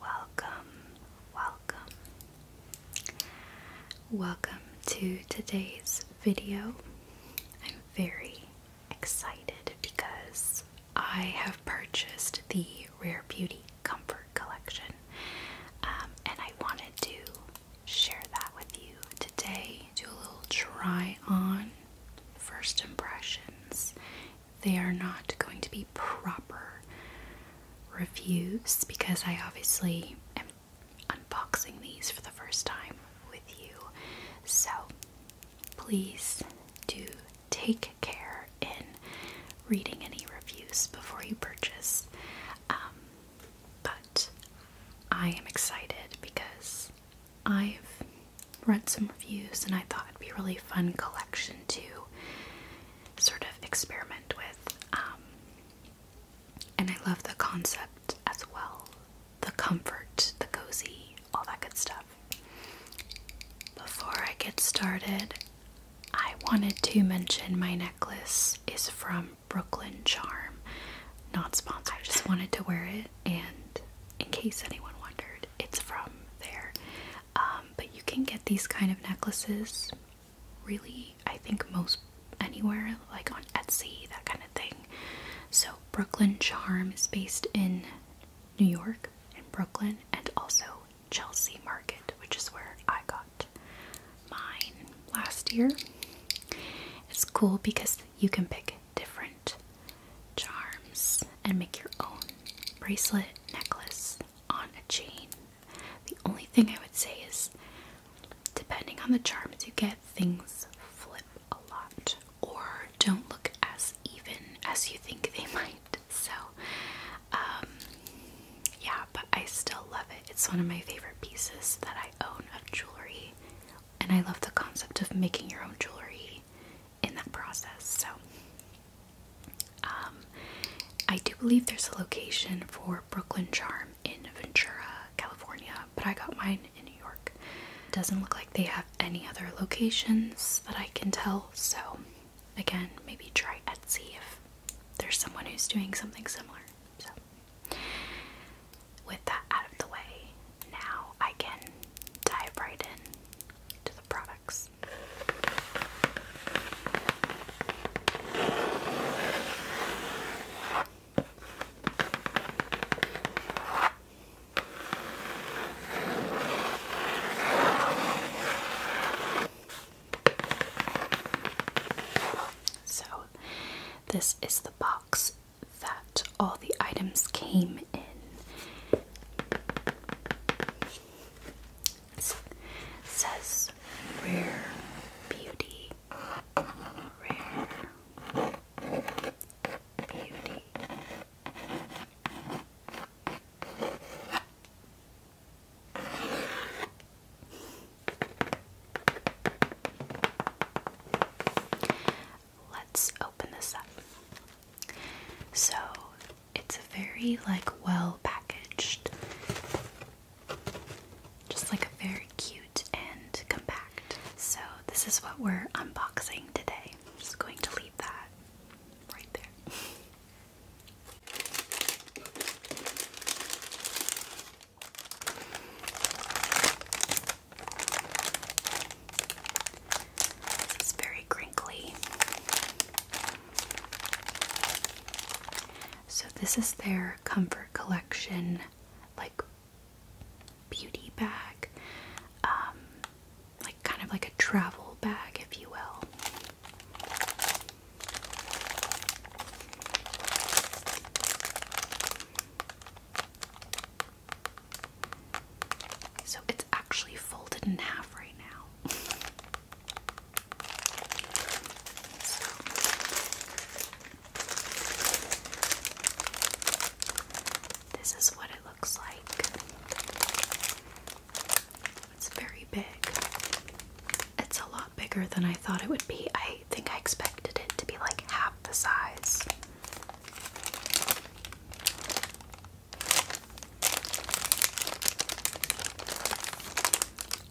Welcome, welcome, welcome to today's video. I'm very excited because I have purchased the Rare Beauty Comfort Collection um, and I wanted to share that with you today. Do a little try on, first impressions, they are not going to be proper reviews because I obviously am unboxing these for the first time with you. So please do take care in reading any reviews before you purchase. Um, but I am excited because I've read some reviews, and I thought it'd be a really fun collection to sort of experiment with. Um, and I love the concept as well the comfort, the cozy, all that good stuff. Before I get started, I wanted to mention my necklace is from Brooklyn Charm, not sponsored. I just wanted to wear it, and in case anyone wondered, it's from there. Um, but you can get these kind of necklaces really, I think, most anywhere, like on Etsy, that kind of thing. So, Brooklyn Charm is based in New York, in Brooklyn, and also Chelsea Market, which is where I got mine last year. It's cool because you can pick different charms and make your own bracelet necklace on a chain. The only thing I would say is depending on the charms you get, things flip a lot or don't look as even as you think they might. So, um, yeah, but I still love it. It's one of my favorite pieces that I own of jewelry, and I love the concept of making your own jewelry in that process. So um, I do believe there's a location for Brooklyn Charm in Ventura, California, but I got mine in New York. Doesn't look like they have any other locations that I can tell. So again, maybe try Etsy if there's someone who's doing something similar. So with that out of the way, now I can dive right in to the product. So, this is the box that all the items came in. S says rare beauty, rare beauty. Let's open this up. So it's very like well packaged. Just like a very cute and compact. So this is what we're unboxing today. I'm just going to leave that right there. It's very crinkly. So, this is their Comfort Collection, like beauty bag, um, like kind of like a travel bag, if you will. So actually folded in half right now. This is what it looks like. It's very big. It's a lot bigger than I thought it would be. I think I expected it to be like half the size.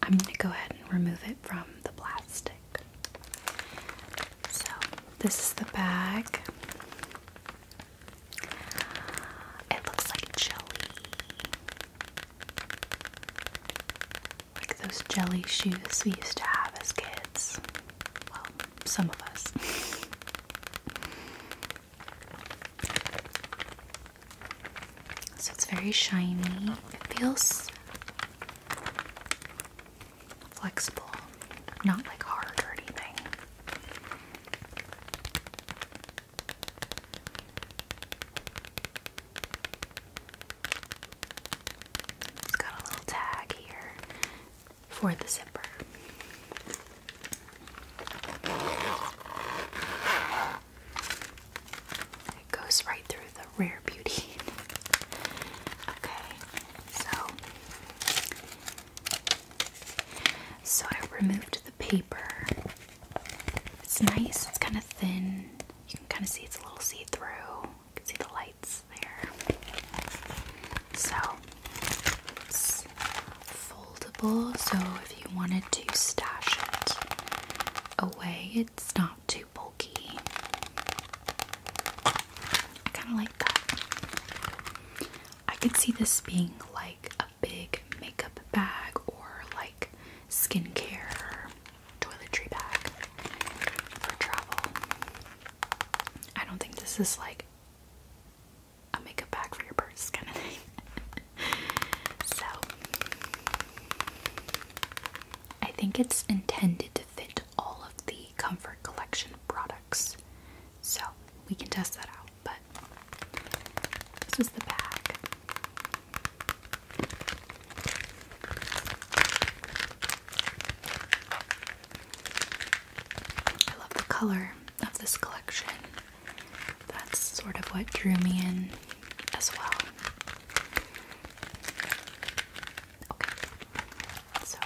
I'm going to go ahead and remove it from the plastic. So, this is the bag. It looks like jelly. Like those jelly shoes we used to have as kids. Well, some of us. So it's very shiny. It feels flexible, not like hard or anything. It's got a little tag here for the zipper. It goes right through the rare beauty. okay, so so I removed the paper. It's nice. It's kind of thin. You can kind of see it's a little see through. You can see the lights there. So foldable, so if you wanted to stash it away, it's not too bulky. I kind of like that. I could see this being like a big makeup bag or like skincare toiletry bag for travel. I don't think this is like a makeup bag for your purse kind of thing. so I think it's intended to fit all of the Comfort Collection products. So we can test that out, but this is the bag. I love the color of this collection that's sort of what drew me in as well. Okay, so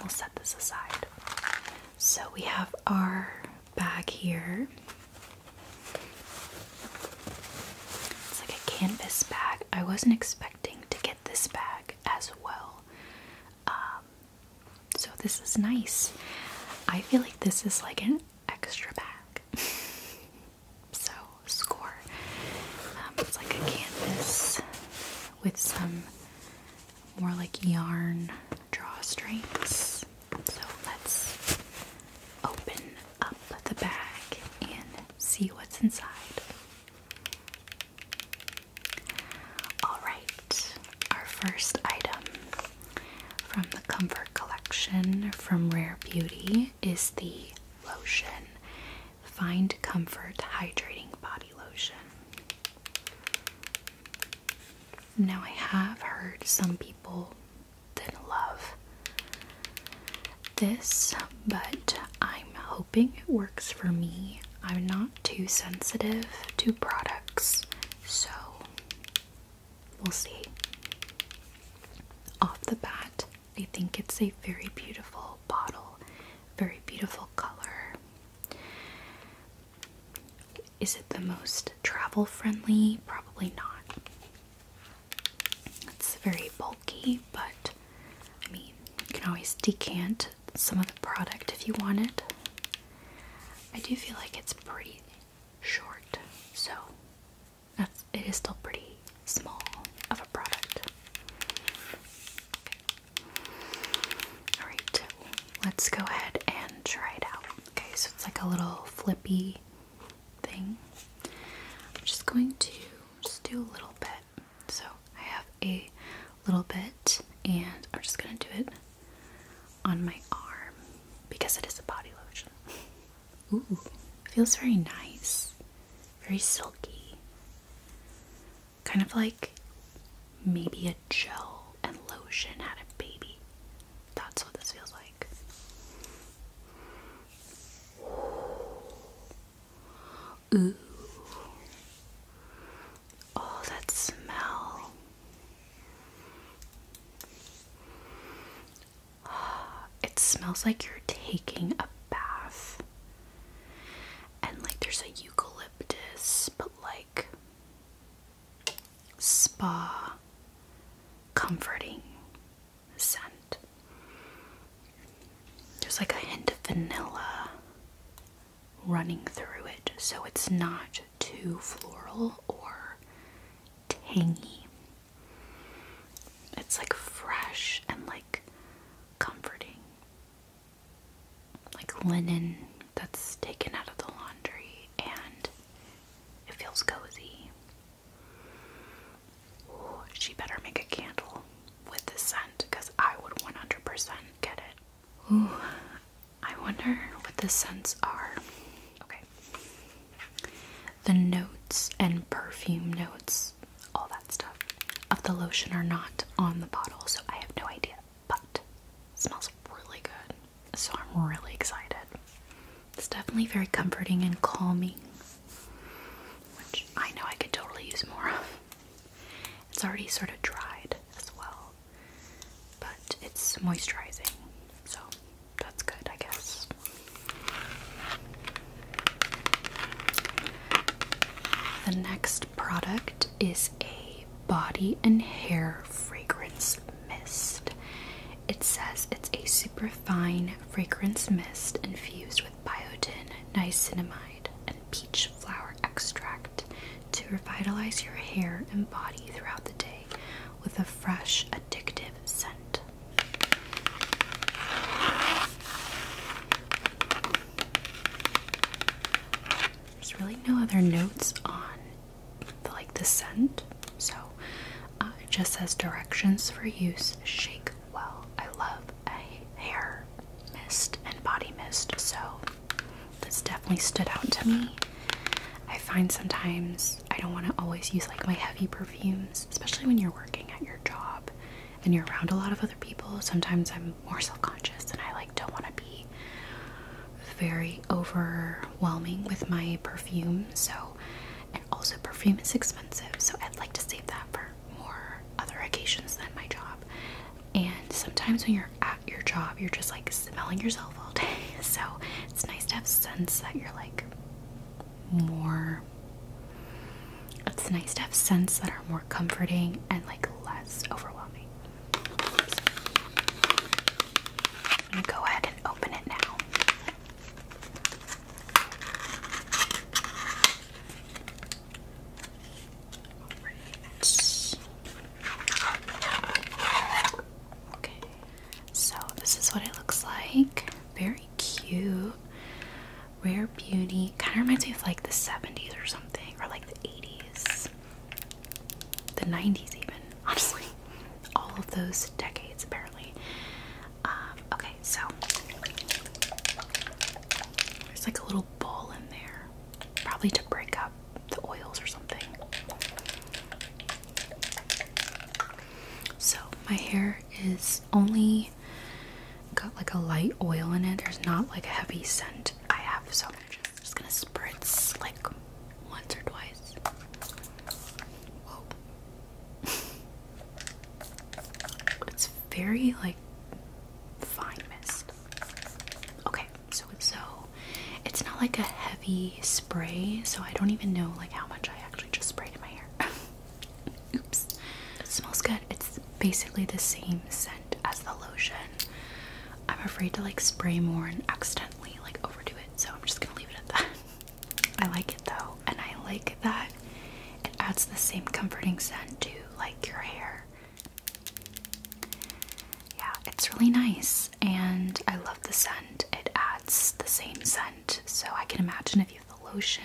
we'll set this aside. So we have our bag here. It's like a canvas bag. I wasn't expecting to get this bag as well. Um, so this is nice. I feel like this is like an extra bag. so score. Um, it's like a canvas with some more like yarn drawstrings. So let's open up the bag and see what's inside. Alright, our first item from the Comfort Collection from Rare Beauty is the lotion Find Comfort Hydrating Body Lotion. Now, I have heard some people didn't love this, but I'm hoping it works for me. I'm not too sensitive to products, so We'll see. Off the bat, I think it's a very beautiful bottle, very beautiful color. Is it the most travel friendly? Probably not. It's very bulky, but I mean, you can always decant some of the product if you want it. I do feel like it's pretty short, so that's it is still pretty small of a product. Alright, let's go ahead and try it out. Okay, so it's like a little flippy thing. I'm just going to just do a little bit. So I have a little bit and I'm just gonna do it on my arm because it is a body lotion. Ooh, feels very nice, very silky. Kind of like maybe a gel and lotion had a baby. That's what this feels like. Ooh. Oh, that smell. It smells like you're taking a bath. And like there's a eucalyptus, but like spa comforting scent. There's like a hint of vanilla running through it, so it's not too floral or tangy. It's like fresh and like comforting. Like linen that's taken out of the laundry and it feels cozy. she better make a candle with this scent because I would 100% get it. Ooh, I wonder what the scents are. Okay. The notes and perfume notes, all that stuff, of the lotion are not on the bottle, so I have no idea. But smells really good. So I'm really excited. It's definitely very comforting and calming, which I know I could totally use more of. It's already sort of dried as well but it's moisturizing, so that's good, I guess. The next product is a body and hair fragrance mist. It says it's a super fine fragrance mist infused with biotin, niacinamide, and peach flower extract to revitalize your hair and body throughout the day with a fresh, addictive scent. There's really no other notes on the, like the scent, so uh, it just says directions for use. Shake well. I love a hair mist and body mist, so this definitely stood out to me. I find sometimes I don't want to always use like my heavy perfumes, especially when you're working at your job and you're around a lot of other people. Sometimes I'm more self-conscious and I like don't want to be very overwhelming with my perfume. So, and also perfume is expensive, so I'd like to save that for more other occasions than my job. And sometimes when you're at your job, you're just like smelling yourself all day. So it's nice to have scents that you're like more. It's nice to have scents that are more comforting and like less overwhelming. go ahead and open it now. Okay. So this is what it looks like. Very cute. Rare beauty. Kind of reminds me of like the 70s or something. Or like the 80s. The 90s even. Honestly. All of those decades apparently. Um, okay, so there's like a little ball in there. Probably to break up the oils or something. So, my hair is only got like a light oil in it. There's not like a heavy scent I have, so I'm just, gonna spritz like once or twice. Whoa. it's very like fine mist. Okay, so so it's not like a heavy spray, so I don't even know like how much I actually just sprayed in my hair. Oops. It smells good. It's basically the same scent as the lotion. I'm afraid to like spray more and accidentally like overdo it, so I'm just gonna leave it at that. I like it though, and I like that it adds the same comforting scent to like your hair. Yeah, it's really nice and I love the scent. It adds the same scent. So I can imagine if you have the lotion,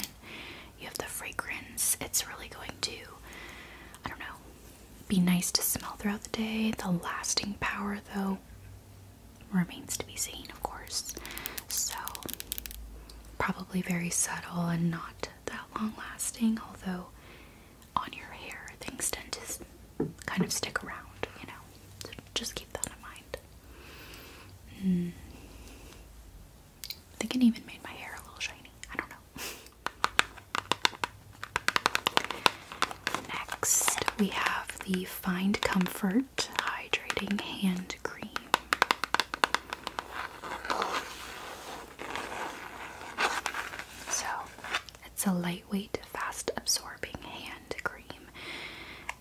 you have the fragrance, it's really going to, I don't know, be nice to smell throughout the day. The lasting power, though, remains to be seen, of course. So, probably very subtle and not that long lasting, although on your hair things tend to kind of stick around, you know. So just keep that in mind. Hmm. I think it even made my hair a little shiny. I don't know. Next, we have the Find Comfort Hydrating Hand Cream. So, it's a lightweight, fast absorbing hand cream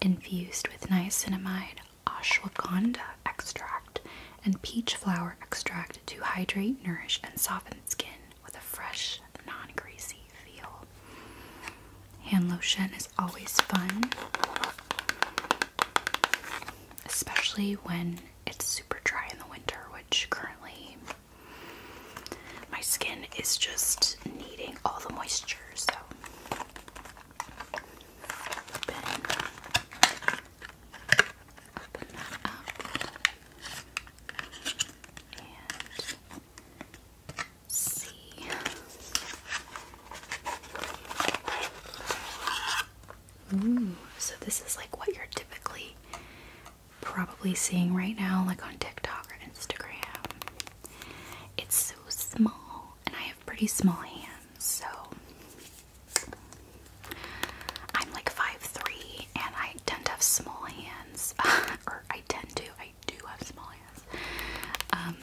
infused with niacinamide, ashwagandha extract, and peach flower extract to hydrate, nourish, and soften skin with a fresh, non greasy feel. Hand lotion is always fun, especially when it's super dry in the winter, which currently my skin is just needing all the moisture, so open, that up and see. Ooh, so this is like what you're typically probably seeing right now, like on TikTok or Instagram. It's so small, and I have pretty small hands, so I'm like 5'3 and I tend to have small hands. or I tend to, I do have small hands. Um,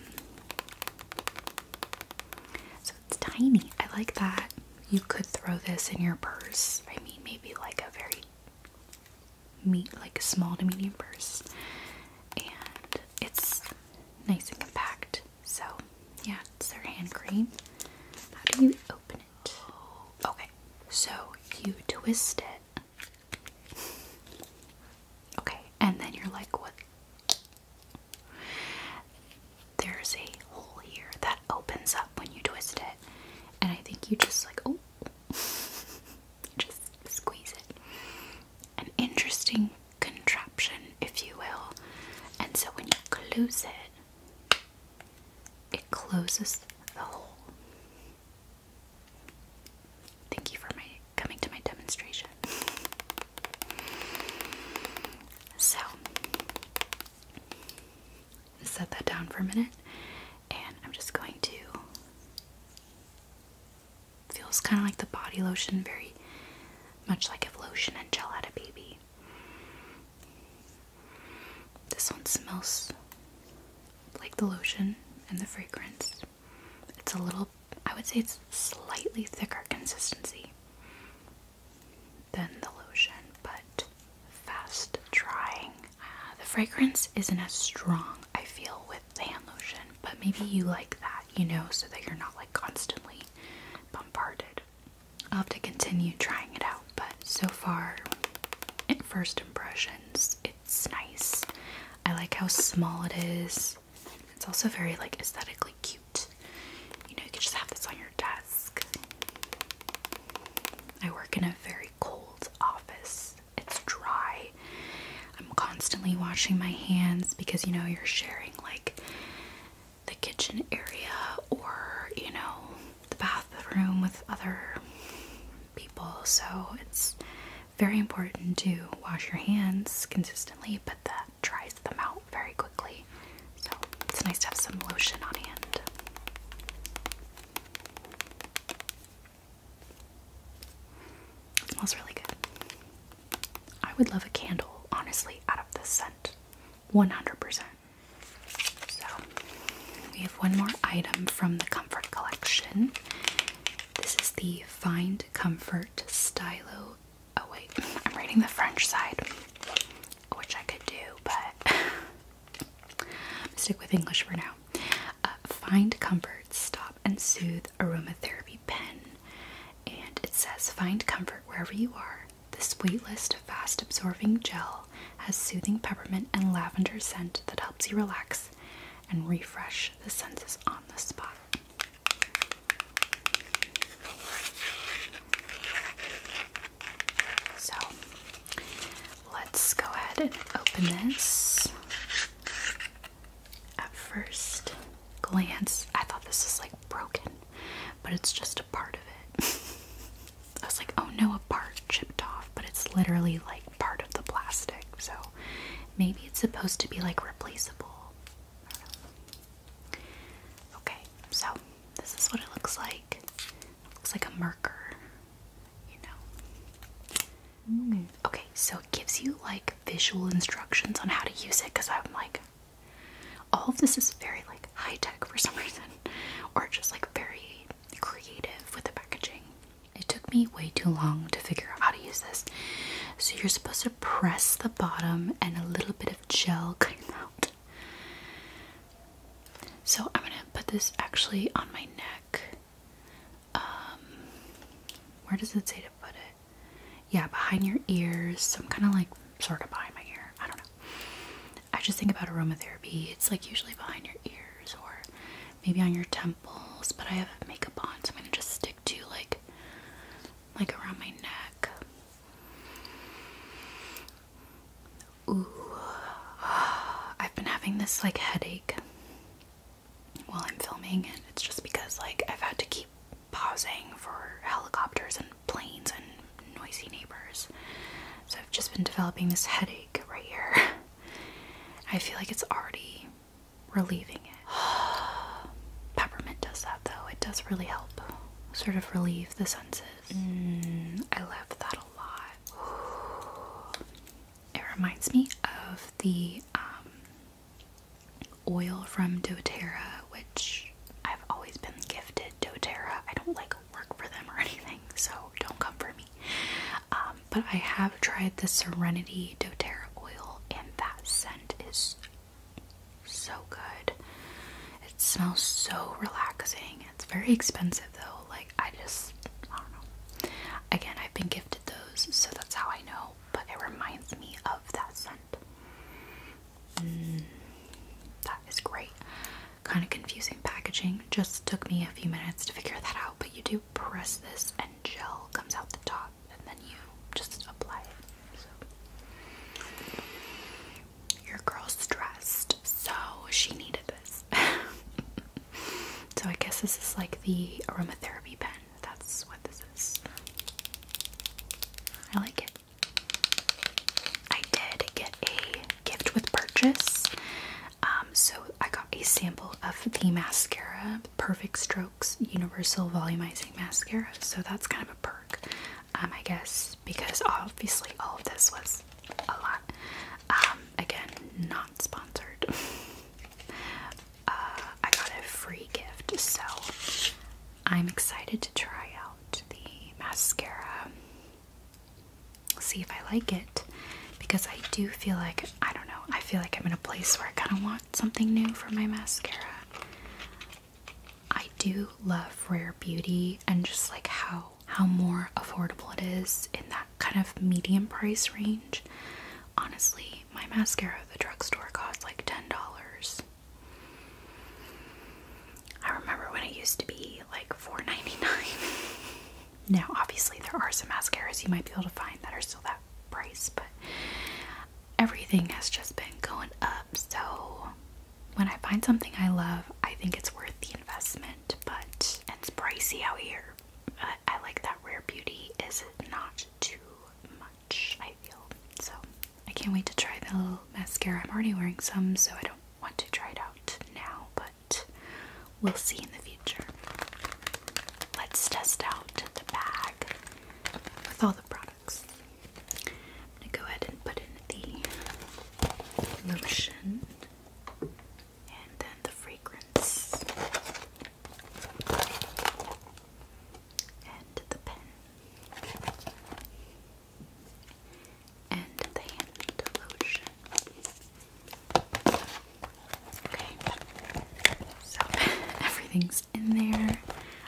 so it's tiny. I like that. You could throw this in your purse. I mean, maybe like a very meat, like small to medium purse, and it's nice and compact. So, yeah, it's their hand cream. How do you open it? Okay, so you twist it. Okay, and then you're like, what? There's a hole here that opens up when you twist it, and I think you just like, oh, Just squeeze it. An interesting contraption, if you will. And so when you close it, it closes the hole. Thank you for my coming to my demonstration. So set that down for a minute and I'm just going to Feels kind of like the body lotion, very much like if lotion and gel had a baby. This one smells like the lotion and the fragrance. It's a little, I would say it's slightly thicker consistency than the lotion, but fast drying. Uh, the fragrance isn't as strong, I feel, with hand lotion, but maybe you like that, you know, so that you're not like constantly bombarded. I'll have to continue trying it out, but so far, first impressions, it's nice. I like how small it is. It's also very like aesthetically cute. You know, you could just have this on your desk. I work in a very cold office, it's dry. I'm constantly washing my hands because you know you're sharing like the kitchen area or you know the bathroom with other people. So it's very important to wash your hands consistently, but that dries them out very quickly. So it's nice to have some lotion on hand smells really good. I would love a candle, honestly, out of this scent. 100%. So, we have one more item from the Comfort Collection. This is the Find Comfort Stylo. Oh, wait, I'm reading the French side, which I could do, but stick with English for now. Uh, find Comfort Stop and Soothe Aromatherapy Pen. And it says, Find comfort wherever you are. This weightless, fast absorbing gel has soothing peppermint and lavender scent that helps you relax and refresh the senses on the spot. So let's go ahead and open this. At first glance, I thought this is like broken, but it's just a part of it. I was like, oh no, a part chipped off, but it's literally like part of the plastic, so maybe it's supposed to be like replaceable. Okay, so this is what it looks like. looks like a marker, you know. Okay, so it gives you like visual instructions on how to use it because I'm like, all of this is very like high tech for some reason, or just like very creative with the packaging. It took me way too long to figure out how to use this. So you're supposed to press the bottom and a little bit of gel comes out. So I'm gonna put this actually on my neck. Um, where does it say to put it? Yeah, behind your ears. So I'm kind of like sort of behind my ear. I don't know. I just think about aromatherapy. It's like usually behind your ears or maybe on your temples. But I have makeup on, so I'm gonna just stick to like like around my neck. Ooh, I've been having this like headache while I'm filming, and it's just because like I've had to keep pausing for helicopters and planes and noisy neighbors. So I've just been developing this headache right here. I feel like it's already relieving it. Peppermint does that though. It does really help sort of relieve the senses. Mm, I love that a lot. it reminds me of the um, oil from doTERRA, which I've always been gifted doTERRA. I don't like work for them or anything, so don't come for me. Um, but I have tried the Serenity doTERRA oil, and that scent is so good. It smells so relaxing. It's very expensive though. Like I just I don't know. Again, I've been gifted those, so that's how I know, but it reminds me of that scent. Mm, that is great. Kind of confusing packaging. Just took me a few minutes to figure that out, but you do press this and gel comes out the top, and then you just apply it. Your girl's stressed, so she needed this. so I guess this is like the aromatherapy pen. That's what this is. I like it. I did get a gift with purchase. Um, so I got a sample of the mascara, Perfect Strokes Universal Volumizing Mascara. So that's kind of a perk, um, I guess, because obviously all of this was a lot. Um, again, not sponsored. Uh, I got a free gift, so I'm excited to try out the mascara. See if I like it because I do feel like I don't know, I feel like I'm in a place where I kind of want something new for my mascara. I do love Rare Beauty and just like how how more affordable it is in that kind of medium price range. Honestly, my mascara at the drugstore cost like $10. I remember when it used to be like 4 now, obviously, there are some mascaras you might be able to find that are still that price, but everything has just been going up. So, when I find something I love, I think it's worth the investment, but it's pricey out here. I, like that rare beauty is not too much, I feel. So I can't wait to try the little mascara. I'm already wearing some, so I don't want to try it out now, but we'll see in the future. Let's test out the bag with all the products. I'm gonna go ahead and put in the lotion and then the fragrance and the pen and the hand lotion. Okay, so everything's in there.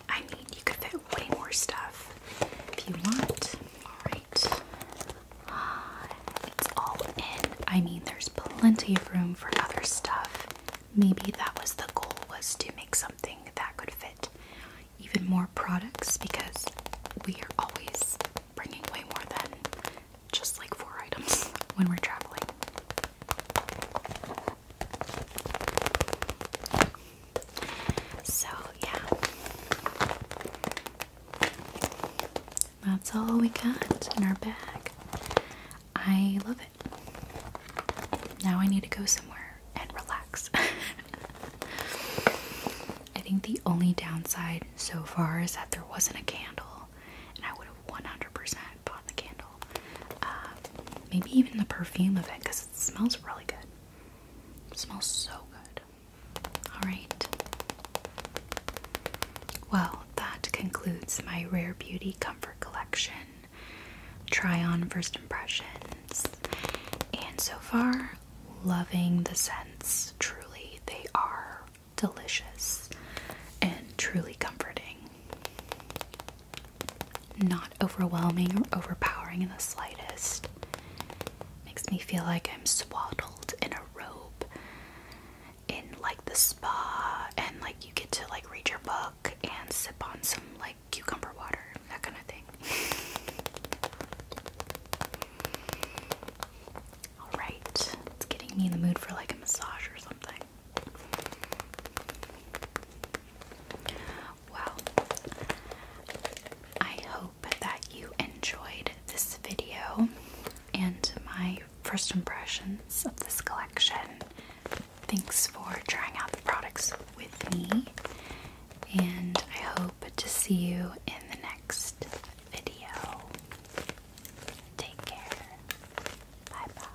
I mean, you could fit way more stuff if you want. All right, it's all in. I mean, there's plenty room for other stuff. Maybe that was the goal was to make something that could fit even more products because we are always bringing way more than just like four items when we're traveling. So, yeah. That's all we got in our bag. I love it. Now I need to go somewhere and relax. I think the only downside so far is that there wasn't a candle, and I would have 100% bought the candle. Um, maybe even the perfume of it because it smells really good. smells so good. Alright. Well, that concludes my Rare Beauty Comfort Collection try on first impressions. And so far, loving the scents. Truly, they are delicious and truly comforting. Not overwhelming or overpowering in the slightest. Makes me feel like I'm swaddled in a robe in like the spa and like you get to like read your book and sip on some like cucumber water, that kind of thing. Alright, it's getting me in the mood for like a massage or something. Well, I hope that you enjoyed this video and my first impressions of this collection. Thanks for trying out the products with me, and I hope to see you in the next video. Take care. Bye bye.